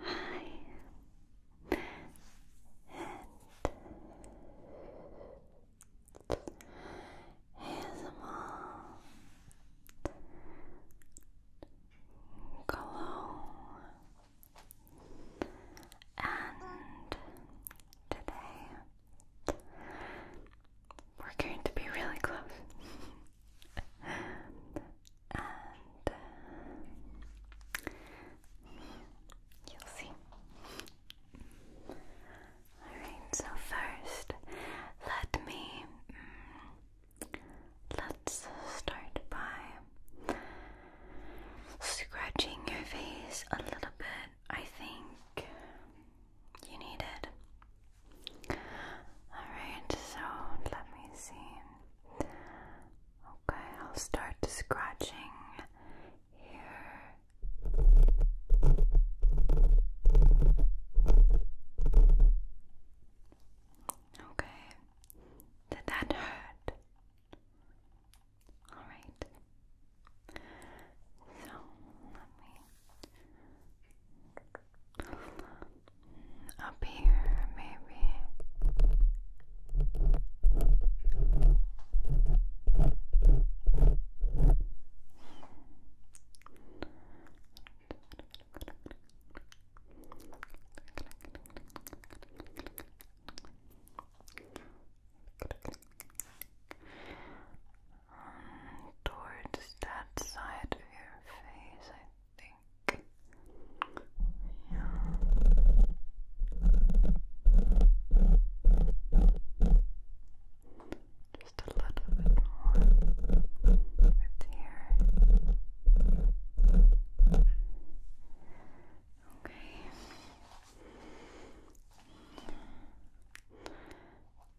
Hi, and here's mom. and today we're going to be really close and uh, you'll see. Alright, so first, let me. Mm, let's start by scratching your face a little bit. I think you need it. Alright, so let me see. Okay, I'll start scratching here. Okay, did that hurt? Alright, so let me. Up here, maybe. Um, towards that side of your face, think. Yeah. Just a little bit more with here. Okay.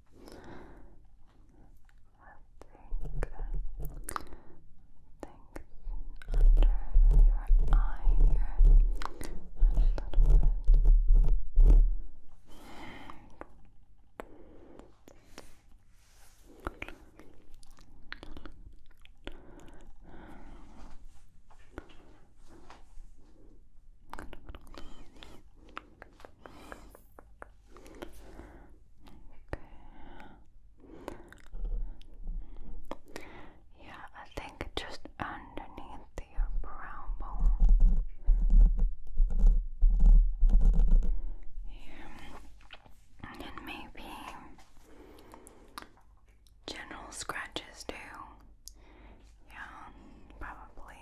under your eye a little bit. Yeah, I think just underneath your brown bone. Yeah. And maybe general scratches too. Yeah, probably.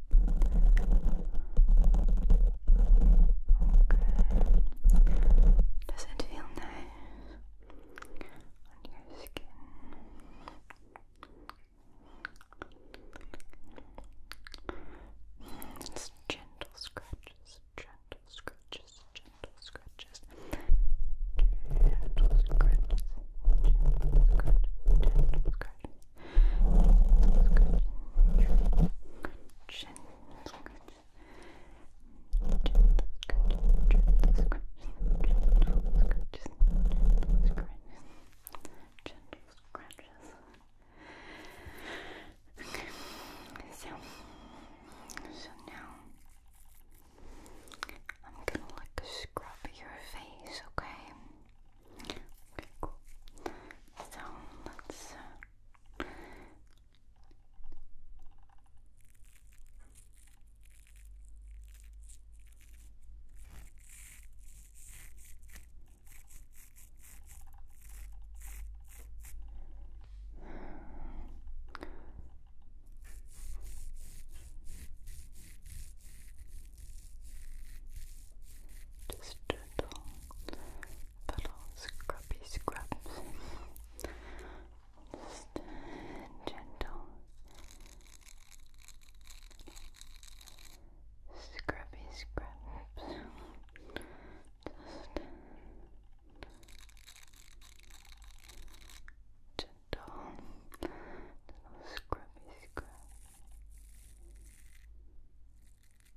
Does it feel nice gentle scratches, gentle scratches, gentle scratches, gentle scratches, gentle scratches, gentle scratches. Okay, so, so now I'm gonna like scrub your face, okay? Okay, cool. So let's. Uh, just uh, little, little scrubby scrubs. Just uh, gentle scrubby scrubs. Just gentle little scrubby scrubs. Just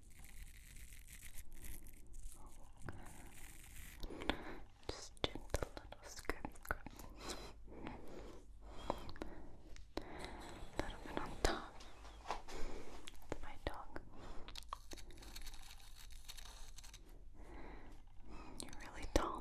Okay. Just gentle little scrub, A little bit on top. my dog. You're really tall.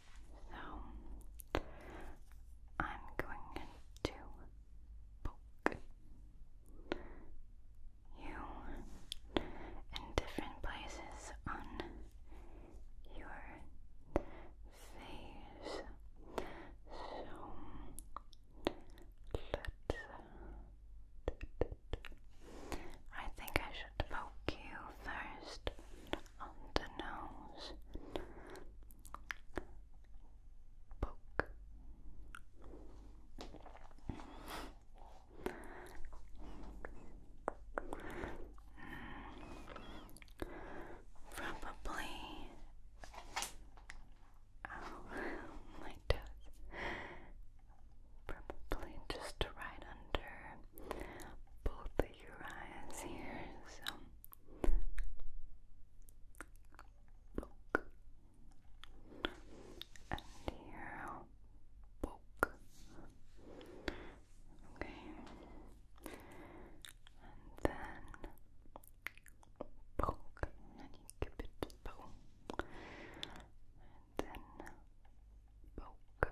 So I'm going to poke you in different places on your face. So let's. I think I should poke you first on the nose. Poke. Probably. Oh, my toes. Probably just right under both Uriah's here, so poke and here poke. Okay, and then poke, and you it poke, and then poke,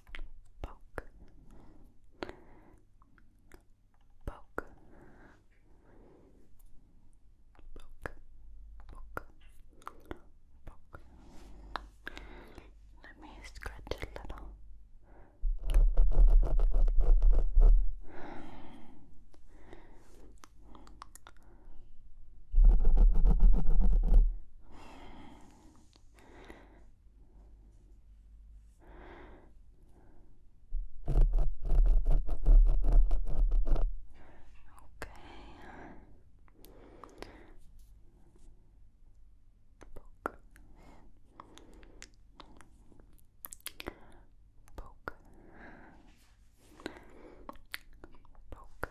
poke, poke, poke, poke, poke. Let me scratch a little. Poke. Poke. Poke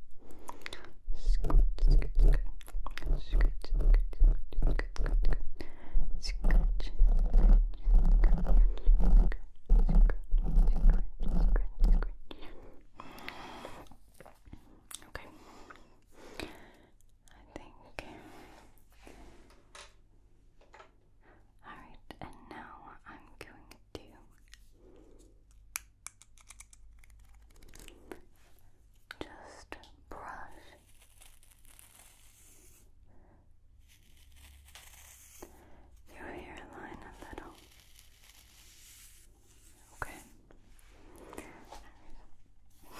Scoot, scoot, Okay. I think. Alright, and now I'm going to just brush your hairline a little. Okay.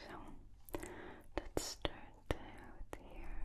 so let's start with here.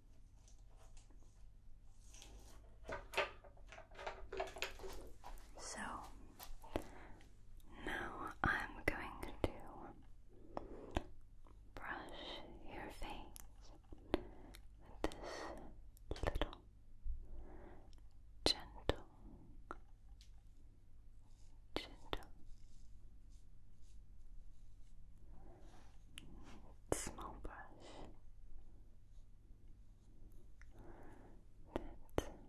So now I'm going to brush your face with this little gentle, gentle, small brush precise and gentle.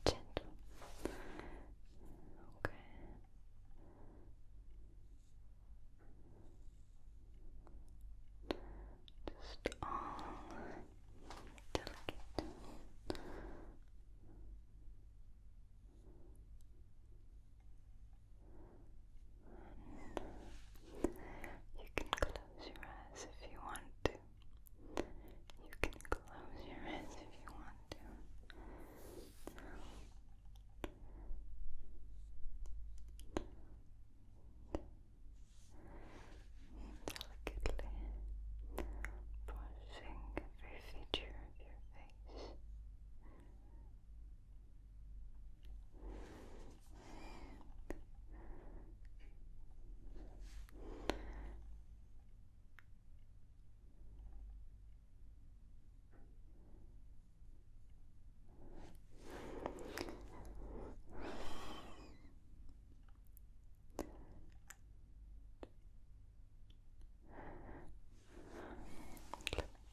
Okay. Just all delicate. you can close your eyes if you want to. You can close your eyes if you want to. Delicately brushing every feature of your face. Let me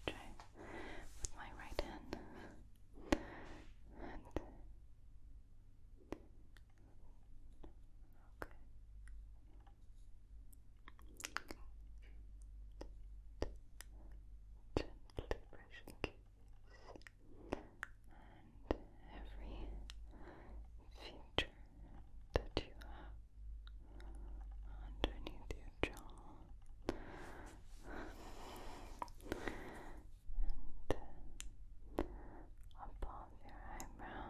try with my right hand Okay. Gently brushing and every feature that you have underneath your jaw. And above your eyebrows,